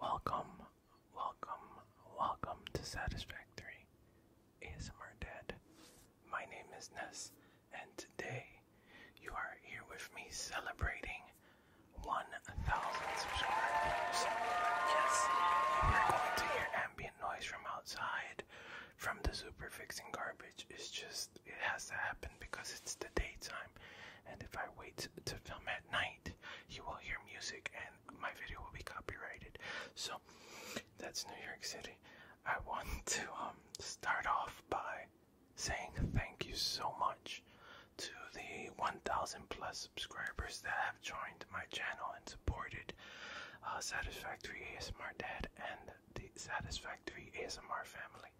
Welcome, welcome, welcome to Satisfactory ASMR Dad. My name is Ness, and today you are here with me celebrating 1,000 subscribers. Yes, you are going to hear ambient noise from outside from the super fixing garbage it's just it has to happen because it's the daytime and if I wait to film at night you will hear music and my video will be copyrighted so that's New York City I want to um start off by saying thank you so much to the 1000 plus subscribers that have joined my channel and supported uh, Satisfactory ASMR Dad and the Satisfactory ASMR family.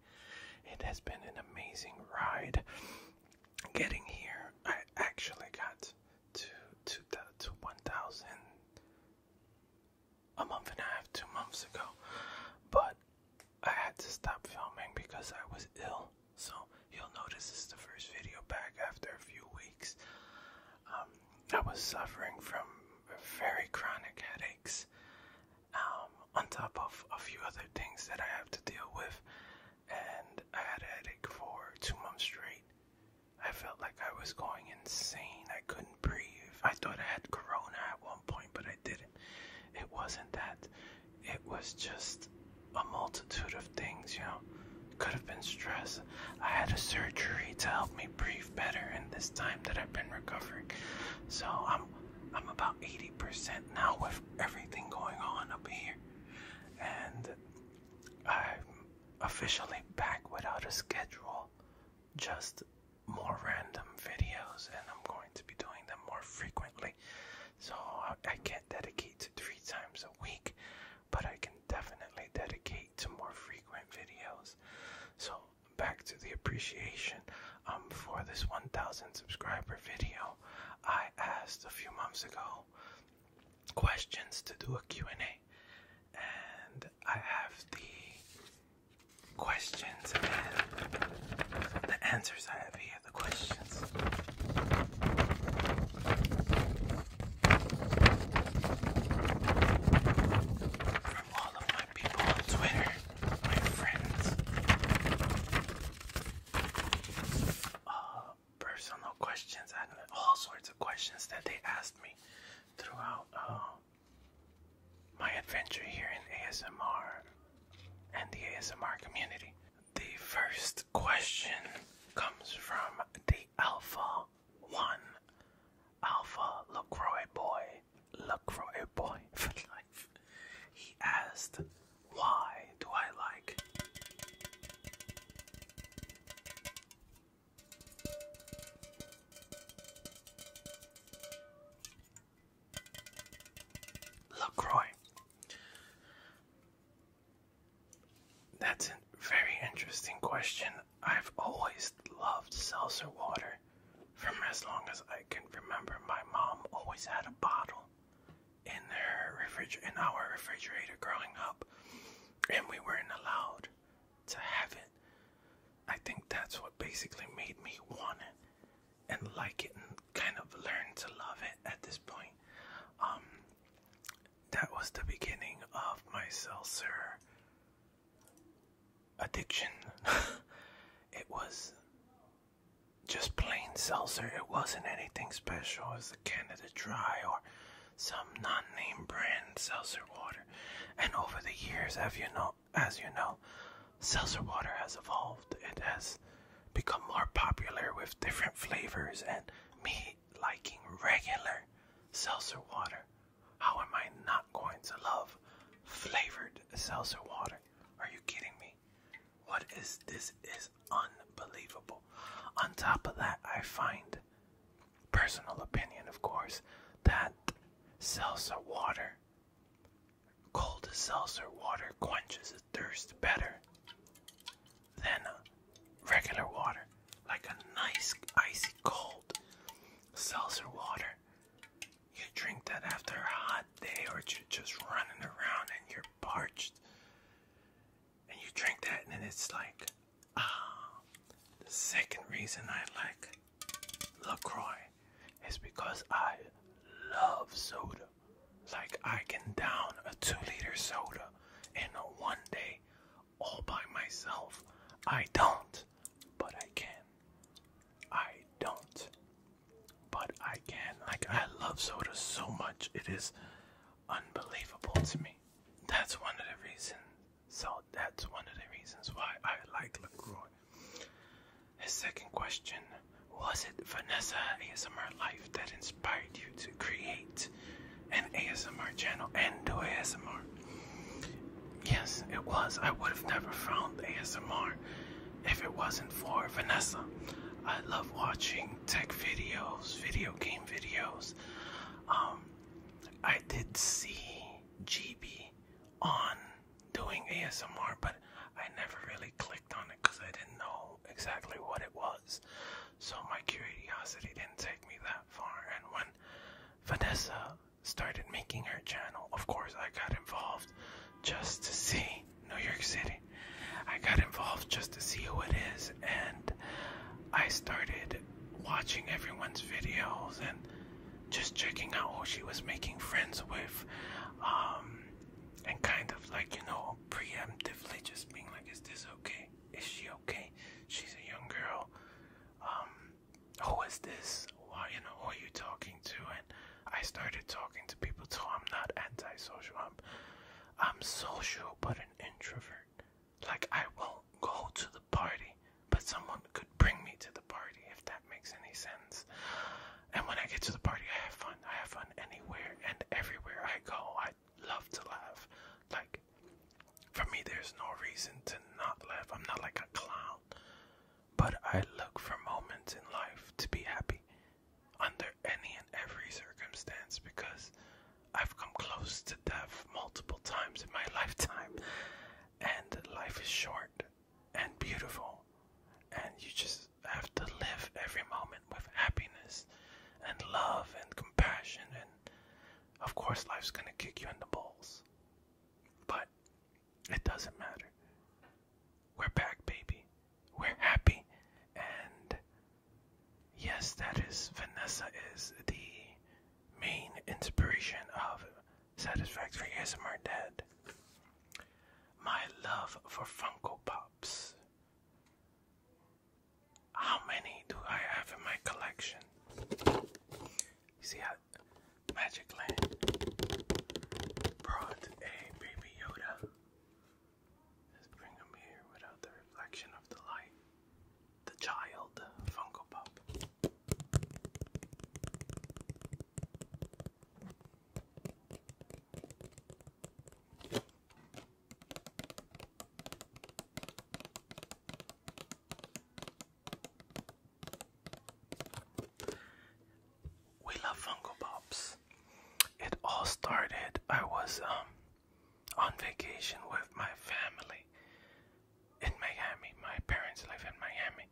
It has been an amazing ride getting here. I actually got to to the, to 1,000 a month and a half, two months ago, but I had to stop filming because I was ill. So you'll notice this is the first video back after a few weeks. Um, I was suffering from very chronic headaches, um, on top of a few other things that I have to deal with. And I had a headache for two months straight. I felt like I was going insane. I couldn't breathe. I thought I had corona at one point, but I didn't. It wasn't that. It was just a multitude of things, you know. Could have been stress. I had a surgery to help me breathe better in this time that I've been recovering. So I'm I'm about 80% now with everything going on up here. And I'm officially back without a schedule. Just more random videos and I'm going to be doing them more frequently. So I, I can't dedicate to three times a week, but I can definitely dedicate to more frequent videos. So back to the appreciation um, for this 1000 subscriber video, I asked a few months ago questions to do a Q&A and I have the questions and the answers I have here, the questions. From all of my people on Twitter, my friends. Uh, personal questions and all sorts of questions that they asked me throughout um, my adventure here in ASMR and the ASMR community. The first question comes from the Alpha one Alpha LaCroix boy, LaCroix boy for life. He asked, Why do I like? LaCroix. That's a very interesting question. I've always loved seltzer water. From as long as I can remember, my mom always had a bottle in her refrigerator, in our refrigerator growing up, and we weren't allowed to have it. I think that's what basically made me want it and like it and kind of learn to love it at this point. Um, that was the beginning of my seltzer addiction. it was just plain seltzer. It wasn't anything special. It was a Canada Dry or some non-name brand seltzer water. And over the years, as you know, as you know, seltzer water has evolved. It has become more popular with different flavors and me liking regular seltzer water how am I not going to love flavored seltzer water? Are you kidding me? What is this? Is unbelievable. On top of that, I find personal opinion, of course, that seltzer water, cold seltzer water, quenches a thirst better than regular water, like a nice icy cold seltzer water. You drink that after a hot day, or you're just running around and you're parched, and you drink that, and it's like, ah. The second reason I like LaCroix is because I love soda. Like I can down a two-liter soda in one day all by myself. I don't, but I can. I don't, but I can. Like, I love soda so much. It is unbelievable to me. That's one of the reasons. So, that's one of the reasons why I like LaCroix. His second question Was it Vanessa ASMR Life that inspired you to create an ASMR channel and do ASMR. Yes, it was. I would have never found ASMR if it wasn't for Vanessa. I love watching tech videos, video game videos. Um, I did see GB on doing ASMR, but I never really clicked on it because I didn't know exactly what it was. So my curiosity didn't take me that far. And when Vanessa started making her channel, of course, I got involved just to see New York City. I got involved just to see who it is, and I started watching everyone's videos and just checking out who she was making friends with. Um, and kind of like, you know, preemptively just being like, is this okay? Is she okay? okay? She's a young girl. Um, who is this? Why, you know, who are you talking to? And I started talking to people, so I'm not antisocial. I'm, I'm social, but an introvert. Like, I won't go to the party, but someone could bring me to the party, if that makes any sense. And when I get to the party, I have fun. I have fun anywhere and everywhere I go. I love to laugh. Like, for me, there's no reason to not laugh. I'm not like a clown, but I look for moments in life to be happy under any and every circumstance because I've come close to death multiple times in my lifetime, and life is short and beautiful, and you just have to live every moment with happiness and love and compassion and of course, life's gonna kick you in the balls. But it doesn't matter. We're back, baby. We're happy. And yes, that is Vanessa is the main inspiration of Satisfactory ASMR dead? My love for Funko Pops. How many do I have in my collection? see how Magic brought a baby Yoda. Let's bring him here without the reflection of the light. The child Funko Pop. We love Funko Pops. It all started. I was um on vacation with my family in Miami. My parents live in Miami,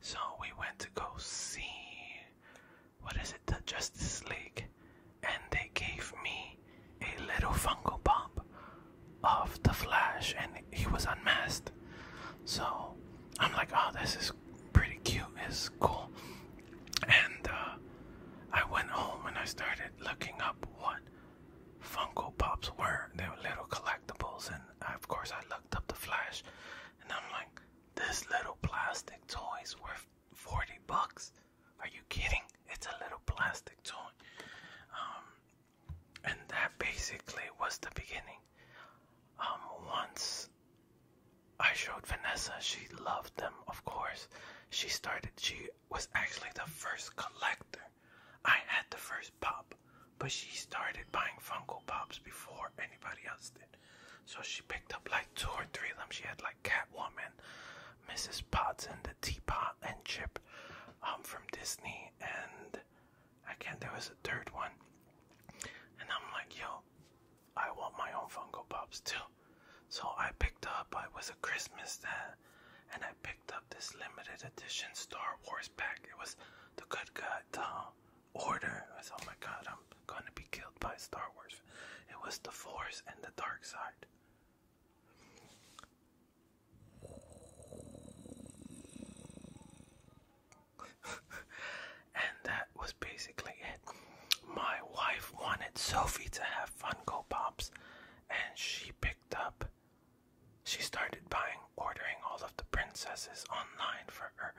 so we went to go see what is it? The Justice League and they gave me a little fungal pop of the Flash, and he was unmasked. So I'm like, oh, this is pretty cute. It's cool. And uh, I went home and I started looking up what Funko Pops were. They were little collectibles, and uh, of course I looked up the Flash, and I'm like, this little plastic toy's worth 40 bucks. Are you kidding? It's a little plastic toy. Um, and that basically was the beginning. Um, once I showed Vanessa, she loved them, of course. She started, she was actually the first collector. I had the first pop, but she started buying Funko Pops before anybody else did. So she picked up like two or three of them. She had like Catwoman Mrs. Potts and the Teapot and Chip um, from Disney, and again there was a third one. And I'm like, yo, I want my own Funko Pops too. So I picked up. Uh, it was a Christmas there, and I picked up this limited edition Star Wars pack. It was the Good Guy uh, Order. I said, oh my God, I'm gonna be killed by Star Wars. It was the Force and the Dark Side and that was basically it. My wife wanted Sophie to have Funko Pops, and she picked up. She started buying, ordering all of the princesses online for her.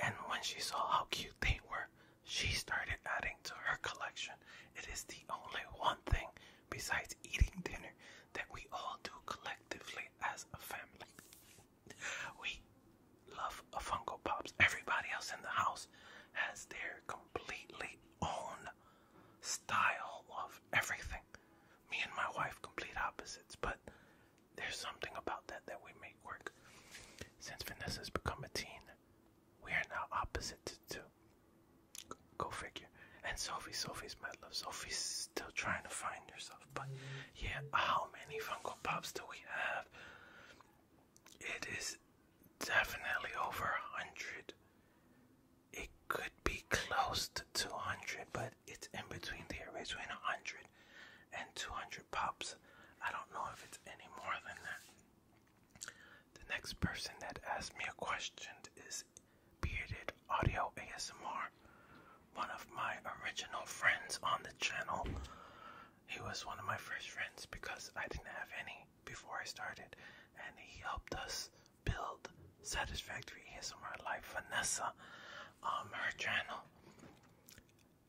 And when she saw how cute they were, she started adding to her collection. It is the only one thing besides eating dinner that we all do collectively as a family. We love a Funko Pops. Everybody else in the house has their completely own style of everything. Me and my wife complete opposites, but there's something about that that we make work. Since Vanessa's become a teen, we are now opposite to Go, figure. And Sophie, Sophie's my love. Sophie's still trying to find herself. But yeah, how many Funko Pops do we have? It is definitely over a hundred. It could be close to 200, but it's in between there, between 100 and 200 pops. I don't know if it's any more than that. The next person that asked me a question is Bearded Audio ASMR, one of my original friends on the channel. He was one of my first friends because I didn't have any before I started, and he helped us build Satisfactory ASMR Life Vanessa, um, her channel.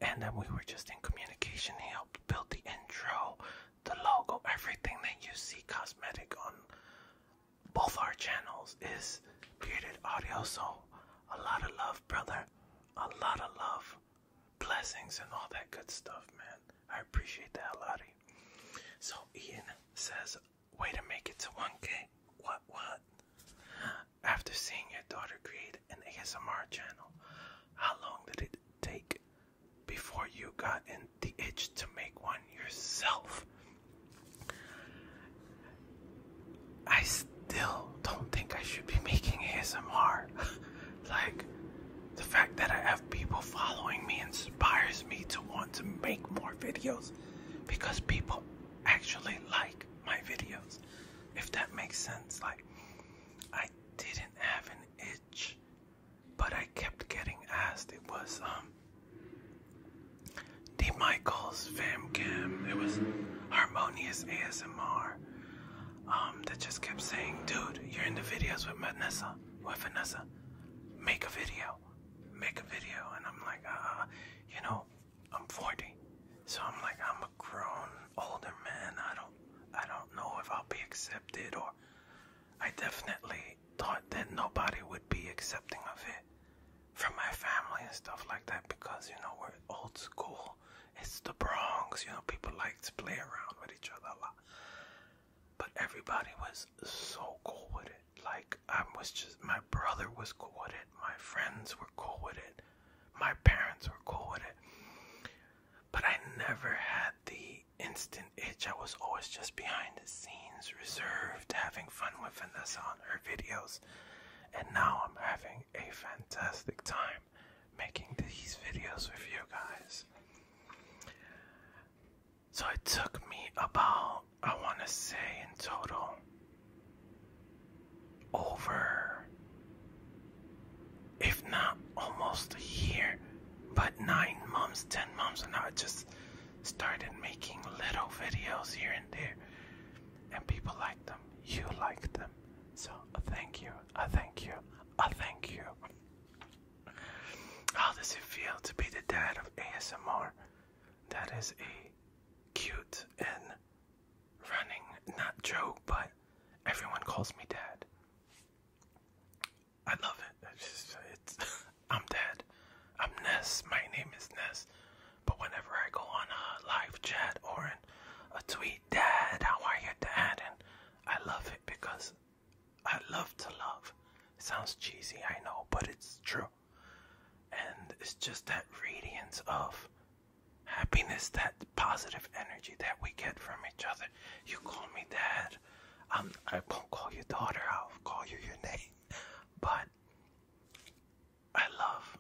And then we were just in communication. He helped build the intro, the logo, everything that you see cosmetic on both our channels is created audio. So a lot of love, brother. A lot of love, blessings, and all that good stuff, man. I appreciate that a lot. So Ian says, way to make it to 1K. What, what? After seeing your daughter create an ASMR channel, how long did it take before you got in the itch to make one yourself. I still don't think I should be making ASMR. like, the fact that I have people following me inspires me to want to make more videos because people actually like my videos. If that makes sense, like, I didn't have an itch but I kept getting asked. It was um D Michaels Fam Cam. It was Harmonious ASMR. Um, that just kept saying, dude, you're in the videos with Vanessa. With Vanessa, make a video, make a video. And I'm like, uh, you know, I'm 40, so I'm like, I'm a grown older man. I don't, I don't know if I'll be accepted or I definitely thought that nobody would be accepting of it from my family and stuff like that because you know we're old school. It's the Bronx, you know, people like to play around with each other a lot. But everybody was so cool with it. Like I was just my brother was cool with it, my friends were cool with it, my parents were cool with it but I never had the instant itch. I was always just behind the scenes, reserved, having fun with Vanessa on her videos. And now I'm having a fantastic time making these videos with you guys. So it took me about, I want to say in total, over if not almost a year, but nine months, ten months, and I just started making little videos here and there, and people like them. You like them, so thank you. I thank you. I thank you. How does it feel to be the dad of ASMR? That is a cute and running not joke, but everyone calls me dad. I love it. It's, just, I'm dead. I'm Ness. My name is Ness. But whenever I go on a live chat or in a tweet, Dad, how are you, Dad? And I love it because I love to love. sounds cheesy, I know, but it's true. And it's just that radiance of happiness, that positive energy that we get from each other. You call me dad. I'm, I i will not call you daughter. I'll call you your name. But I love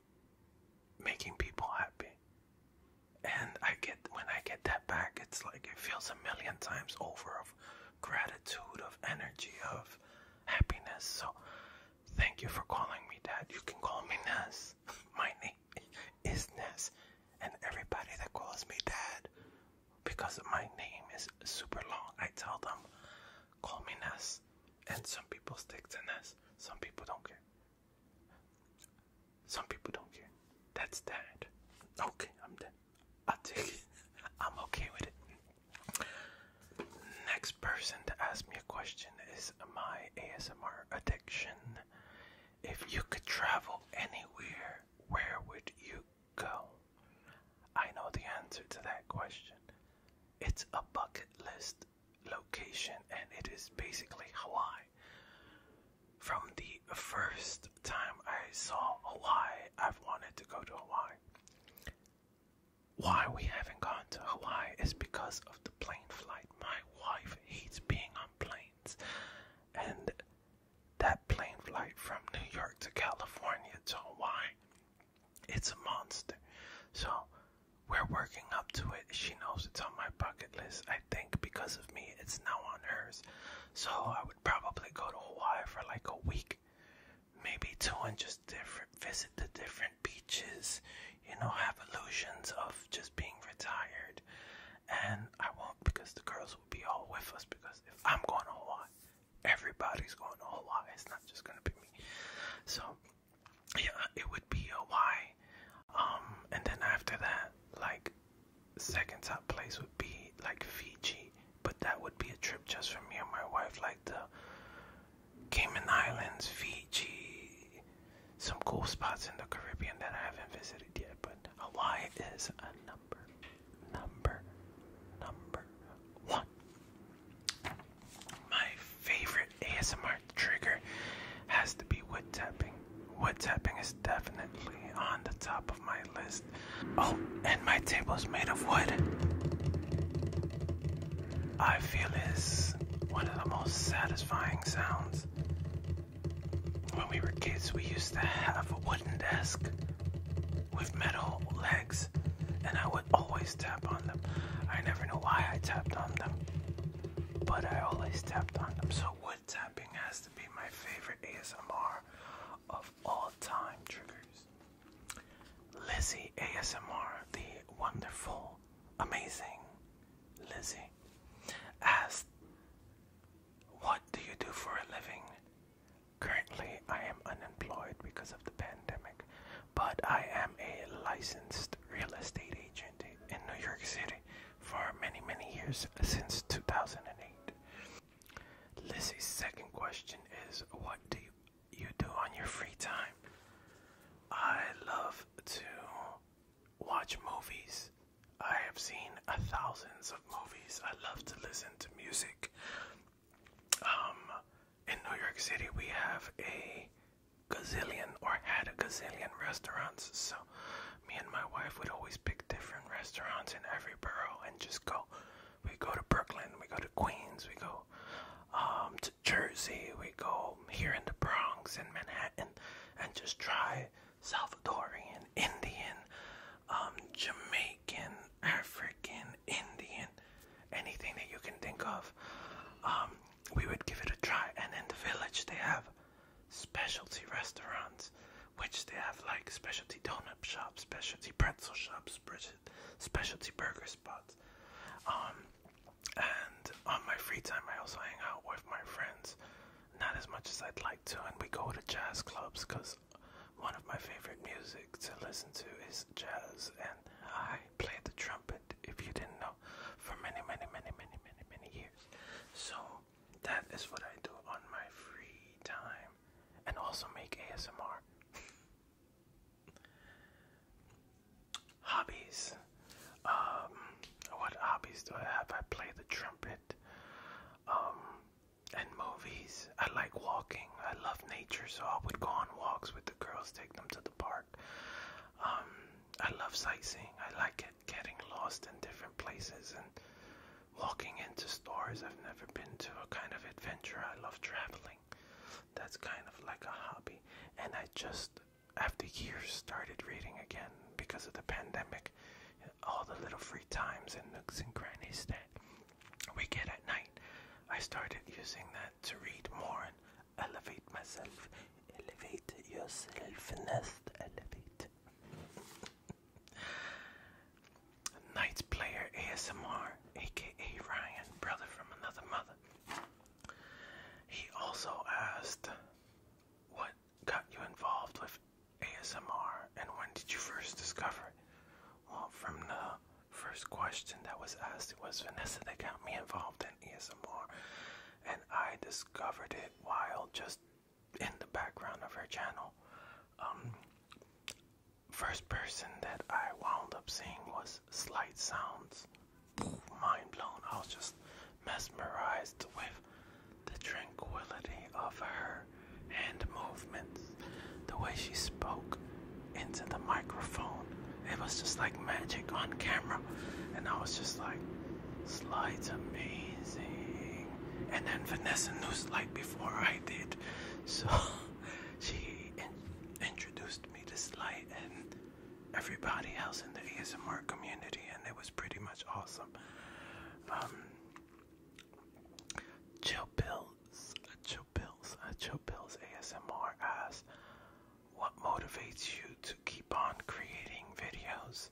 making people happy. And I get when I get that back, it's like it feels a million times over of gratitude, of energy, of happiness. So thank you for calling me dad. You can call me Ness. My name is Ness, and everybody that calls me dad because my name is super long. I tell them, call me Ness, and some people stick to Ness. Some people don't care. Some people don't care. That's that. Okay, I'm done. i take it. I'm okay with it. Next person to ask me a question is my ASMR addiction. If you could travel anywhere, where would you go? I know the answer to that question. It's a bucket list location, and it is basically Hawaii. From the first time I saw Hawaii, I've wanted to go to Hawaii. Why we haven't gone to Hawaii is because of the plane flight. My wife hates being on plane. And that plane flight from New York to California to Hawaii, it's a monster. So we're working up to it. She knows it's on my bucket list. I think because of me, it's now on hers. So I would probably go to Hawaii for like a week, maybe two, and just different visit the different beaches you know, have illusions of just being retired. And I won't because the girls will be all with us because if I'm going to Hawaii, everybody's going to Hawaii. It's not just going to be me. So, yeah, it would be Hawaii. Um, and then after that, like, second top place would be like Fiji. But that would be a trip just for me and my wife, like the Cayman Islands, Fiji, some cool spots in the Caribbean that I haven't visited yet, but Hawaii is a number, number, number one. My favorite ASMR trigger has to be wood tapping. Wood tapping is definitely on the top of my list. Oh, and my table is made of wood. I feel is one of the most satisfying sounds when we were kids, we used to have a wooden desk with metal legs, and I would always tap on them. I never knew why I tapped on them, but I always tapped on them. So, wood tapping has to be my favorite ASMR of all time triggers. Lizzie ASMR, the wonderful, amazing Lizzie asked, What do you do for a living? Currently, I am unemployed because of the pandemic, but I am a licensed real estate agent in New York City for many, many years since 2008. Lizzie's second question is What do you do on your free time? I love to watch movies. I have seen uh, thousands of movies. I love to listen to music. Um, in New York City, we have a gazillion or had a gazillion restaurants. So, me and my wife would always pick different restaurants in every borough and just go. We go to Brooklyn, we go to Queens, we go um, to Jersey, we go here in the Bronx, in Manhattan and just try Salvadorian, Indian, um, Jamaican, African, Indian, anything that you can think of. Um, we would give it a try. And in the village, they have specialty restaurants, which they have like specialty donut shops, specialty pretzel shops, specialty burger spots. Um, and on my free time, I also hang out with my friends, not as much as I'd like to, and we go to jazz clubs because one of my favorite music to listen to is jazz, and I play the trumpet. If you didn't know, for many, many, many, many, many, many years. So that is what I do on my free time, and also make ASMR hobbies. Um, what hobbies do I have? I play the trumpet. Um, and movies. I like walking. I love nature, so I would go on walks with the girls, take them to the park. Um, I love sightseeing. I like it, getting lost in different places and walking into stores I've never been to. A kind of adventure. I love traveling. That's kind of like a hobby. And I just after years started reading again because of the pandemic all the little free times and nooks and crannies that we get at night. I started using that to read more and elevate myself. Elevate yourself, nest, elevate. Knights Player ASMR, aka Ryan, brother from another mother. He also asked what got you involved with ASMR and when did you first discover it? Well, from the first question that was asked, it was Vanessa that got me involved in ASMR, and I discovered it while just in the background of her channel. Um, first person that I wound up seeing was Slight Sounds mind blown. I was just mesmerized with the tranquility of her hand movements, the way she spoke into the microphone. It was just like magic on camera. And I was just like, slides amazing. And then Vanessa knew like before I did. So she introduced me to slide and everybody else in the ASMR community, and it was pretty much awesome. Um, chill pills, chill pills, chill pills. ASMR asks, "What motivates you to keep on creating videos?"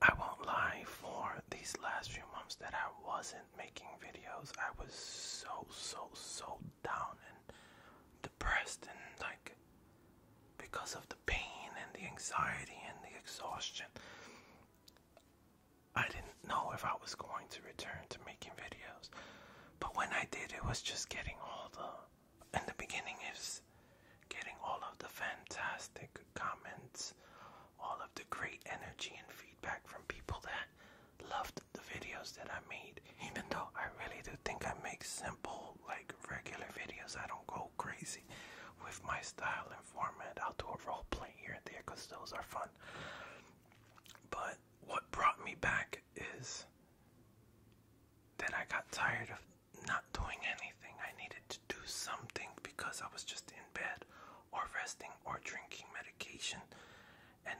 I won't lie, for these last few months that I wasn't making videos, I was so, so, so down and depressed and like because of the pain and the anxiety and the exhaustion. I didn't know if I was going to return to making videos, but when I did, it was just getting all the in the beginning is getting all of the fantastic comments, all of the great energy and feedback from people that loved the videos that I made. Even though I really do think I make simple, like regular videos, I don't go crazy with my style and format. I'll do a role play here and there because those are fun. But what brought me back is that I got tired of not doing anything. I needed to do something because I was just in bed or resting or drinking medication. And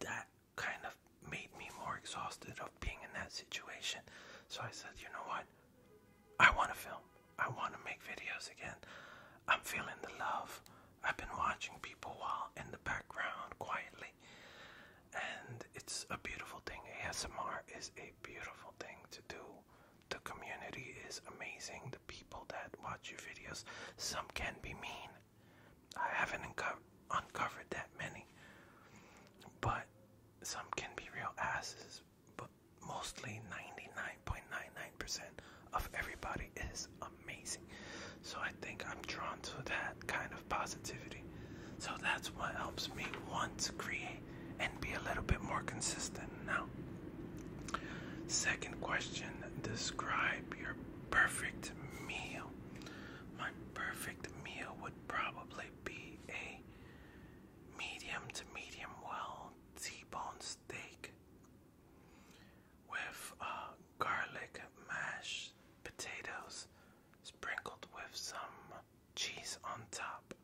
that kind of made me more exhausted of being in that situation. So I said, you know what? I want to film. I want to make videos again. I'm feeling the love. I've been watching people while in the background quietly. And it's a beautiful thing. ASMR is a beautiful thing to do. The community is amazing. The people that watch your videos, some can be mean. I haven't uncovered that many, but some can be real asses. But mostly 99.99% of everybody is amazing. So I think I'm drawn to that kind of positivity. So that's what helps me want to create and be a little bit more consistent now. Second question Describe your perfect meal. My perfect meal would probably be a medium to medium well T-bone steak with uh, garlic mashed potatoes sprinkled with some cheese on top.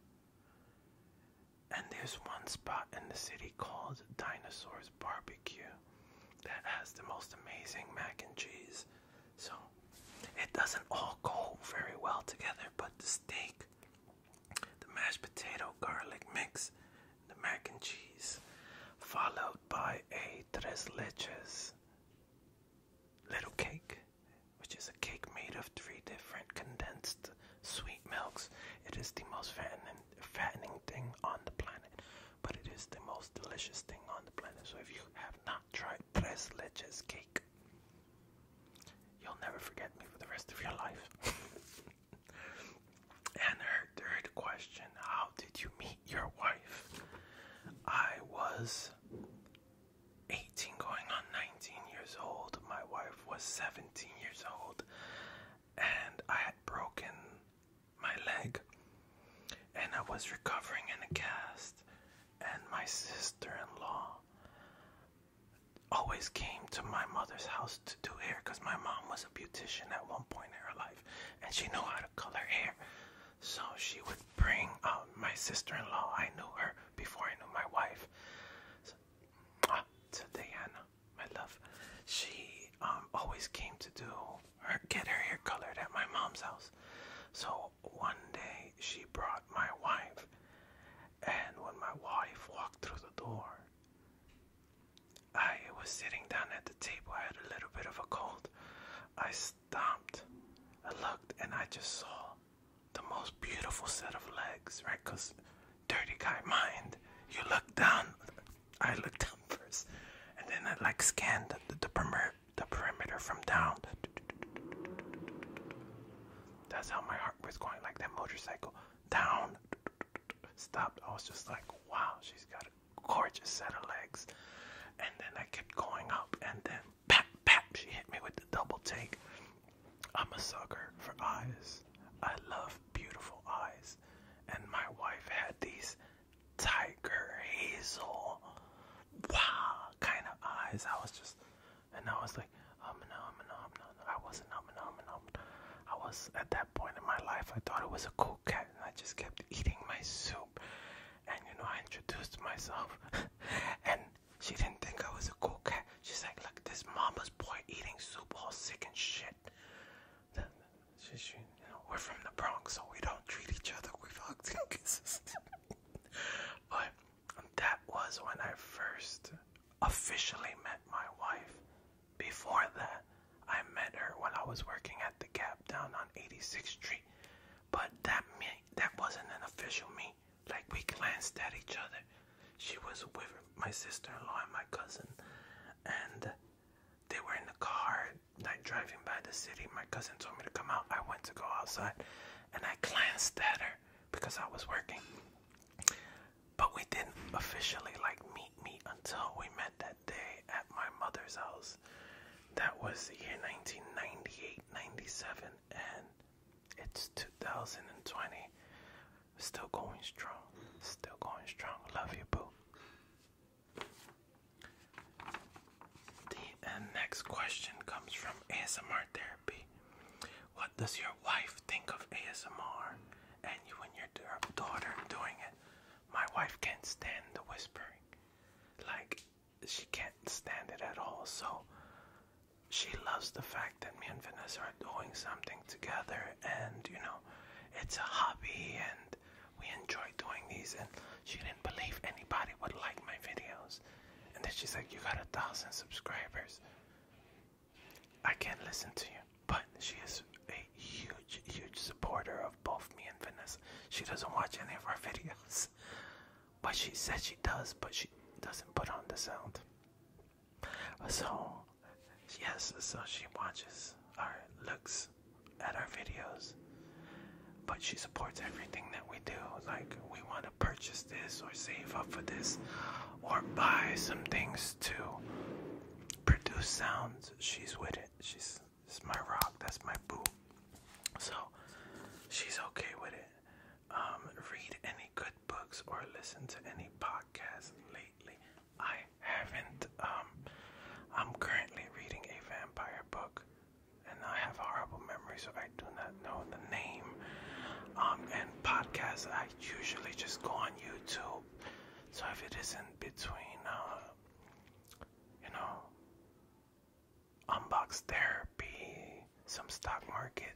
And there's one spot in the city called Dinosaurs Barbecue that has the most amazing mac and cheese. So it doesn't all go very well together, but the steak, the mashed potato garlic mix, the mac and cheese, followed by a tres leches little cake, which is a cake made of three different condensed sweet milks. It is the most fattening, fattening thing on the planet, but it is the most delicious thing on the planet. So if you have not tried tres leches cake, you'll never forget me for the rest of your life. and her third question, how did you meet your wife? I was 18 going on 19 years old. My wife was 17 years old. And I had broken my leg, and I was recovering in a cast, and my sister-in-law always came to my mother's house to do hair because my mom was a beautician at one point in her life and she knew how to color hair so she would bring um, my sister-in-law i knew her before i knew my wife so, ah, to diana my love she um, always came to do her get her hair colored at my mom's house. So one day she brought my wife, and when my wife walked through the door, I was sitting down at the table. I had a little bit of a cold. I stopped, I looked, and I just saw the most beautiful set of legs, right? Because dirty guy mind, you look down I looked down first, and then I like scanned the, perimeter, the perimeter from down. That's how my heart was going, like that motorcycle down. Stopped. I was just like, wow, she's got a gorgeous set of legs. And then I kept going up, and then pap, pap, she hit me with the double take. I'm a sucker for eyes. I love beautiful eyes. And my wife had these tiger hazel wow kind of eyes. I was just, and I was like, um no, um no, I wasn't um I was at that point in my life. I thought it was a cool cat, and I just kept eating my soup. And you know, I introduced myself, and she didn't think I was a cool cat. She's like, look, this mama's boy eating soup, all sick and shit shit. You we're from the Bronx, so we don't treat each other with hugs and kisses. but that was when I first officially met my wife. Before that, I met her when I was working at the Gap down on 86th Street. But that me that wasn't an official meet. Like we glanced at each other. She was with my sister-in-law and my cousin, and they were in the car like driving by the city, my cousin told me to come out. I went to go outside and I glanced at her because I was working. But we didn't officially like meet me until we met that day at my mother's house. That was the year 1998, 97, and it's 2020. Still going strong. Still going strong. Love you, boo. The uh, next question comes from ASMR Therapy. What does your wife think of ASMR and you and your daughter doing it? My wife can't stand the whispering. Like, she can't stand it at all. So, she loves the fact that me and Vanessa are doing something together and, you know, it's a hobby and we enjoy doing these, and she didn't believe anybody would like my videos. And then she's like, You got a thousand subscribers. I can't listen to you. But she is a huge, huge supporter of both me and Vanessa. She doesn't watch any of our videos. But she says she does, but she doesn't put on the sound. So yes, so she watches or looks at our videos, but she supports everything that we do. Like, we want to purchase this or save up for this or buy some things to produce sounds. She's with it. She's my rock. That's my boo. So, she's okay with it. Um, read any good books or listen to any podcasts. I haven't. Um, I'm currently reading a vampire book, and I have horrible memories, so I do not know the name. Um, and podcasts, I usually just go on YouTube. So if it isn't between, uh, you know, unbox therapy, some stock market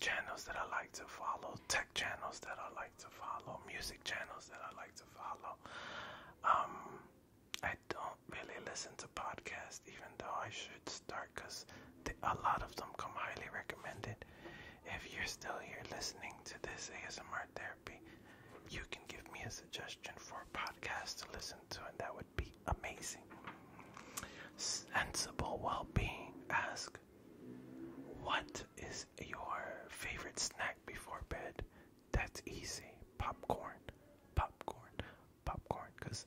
channels that I like to follow, tech channels that I like to follow, music channels that I like to follow. Um, I don't really listen to podcasts, even though I should start because a lot of them come highly recommended. If you're still here listening to this ASMR therapy, you can give me a suggestion for a podcast to listen to, and that would be amazing. Sensible well being. Ask what is your favorite snack before bed? That's easy. Popcorn. Popcorn. Popcorn. Because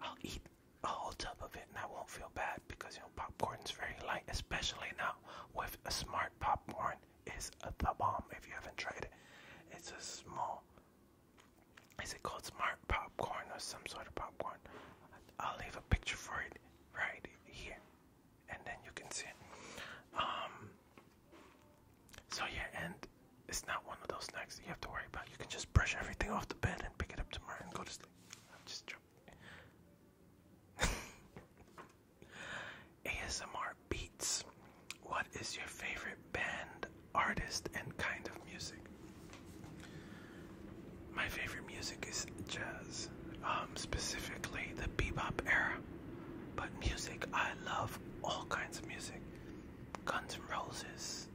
I'll eat a whole tub of it and I won't feel bad because, you know, popcorn's very light, especially now with a smart popcorn is the bomb if you haven't tried it. It's a small, is it called smart popcorn or some sort of popcorn? I'll leave a picture for it right here and then you can see it. Um, so yeah, and it's not one of those snacks that you have to worry about. You can just brush everything off the bed and pick it up tomorrow and go to sleep. I'm just joking. ASMR beats. What is your favorite band, artist, and kind of music? My favorite music is jazz. Um, um, specifically the bebop era. But music, I love all kinds of music. Guns N' Roses,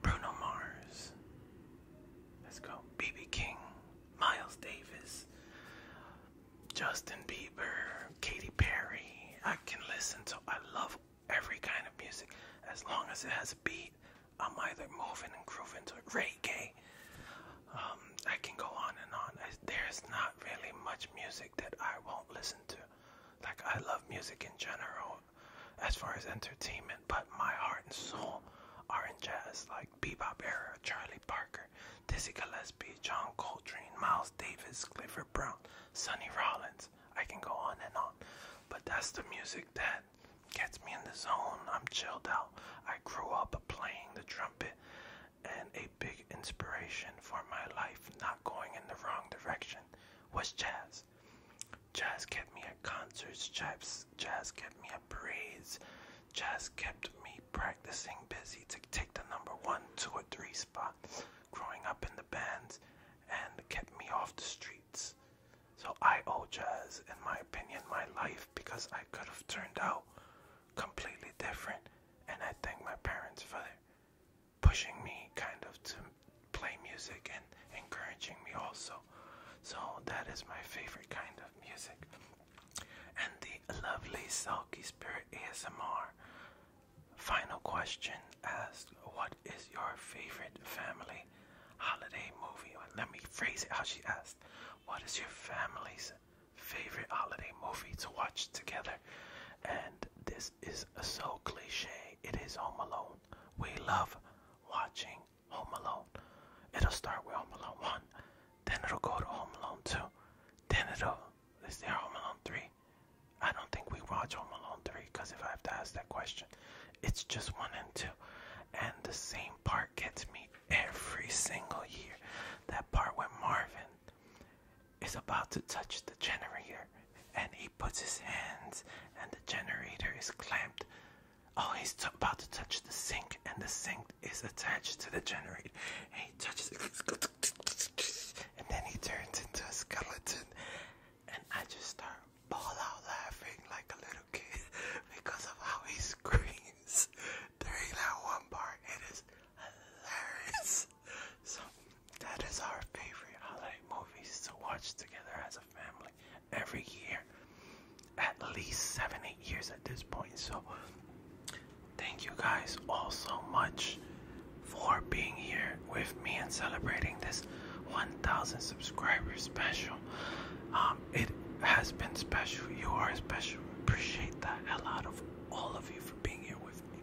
Bruno Mars, let's go, BB King, Miles Davis, Justin Bieber, Katy Perry. I can listen to, I love every kind of music as long as it has a beat. I'm either moving and grooving to reggae. Um, I can go on and on. there's not really much music that I won't listen to. Like I love music in general, as far as entertainment. But my heart and soul are in jazz, like Bebop era, Charlie Parker, Dizzy Gillespie, John Coltrane, Miles Davis, Clifford Brown, Sonny Rollins. I can go on and on. But that's the music that gets me in the zone. I'm chilled out. I grew up playing the trumpet and a big inspiration for my life not going in the wrong direction was jazz. Jazz kept me at concerts, jazz, jazz kept me at parades, jazz kept me practicing busy to take the number one, two, or three spot growing up in the bands and kept me off the streets. So I owe jazz, in my opinion, my life because I could have turned out completely different. And I thank my parents for pushing me kind of to play music and encouraging me also. So that is my favorite kind of music. And the lovely Sulky Spirit ASMR final question Ask What is your favorite family holiday movie? Let me phrase it how she asked what is your family's favorite holiday movie to watch together? And this is so cliche. It is Home Alone. We love watching Home Alone. It'll start with Home Alone 1, then it'll go to Home Alone 2, then it'll, is there Home Alone 3? I don't think we watch Home Alone 3 because if I have to ask that question, it's just 1 and 2 and the same part gets me every single year. That part when Marvin is about to touch the generator and he puts his hands and the generator is clamped. Oh, he's about to touch the sink and the sink is attached to the generator. And he touches it and then he turns into a skeleton. And I just start ball out laughing like a little Because of how he screams during that one part. It is hilarious. So that is our favorite holiday movies to watch together as a family every year. At least seven, eight years at this point. So thank you guys all so much for being here with me and celebrating this 1000 subscribers special. Um, it has been special. You are special. Appreciate the hell out of all of you for being here with me.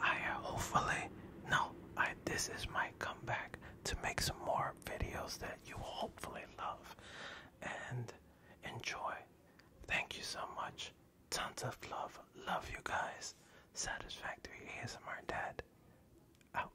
I uh, hopefully no, I this is my comeback to make some more videos that you will hopefully love and enjoy. Thank you so much. Tons of love. Love you guys. Satisfactory ASMR Dad. Out.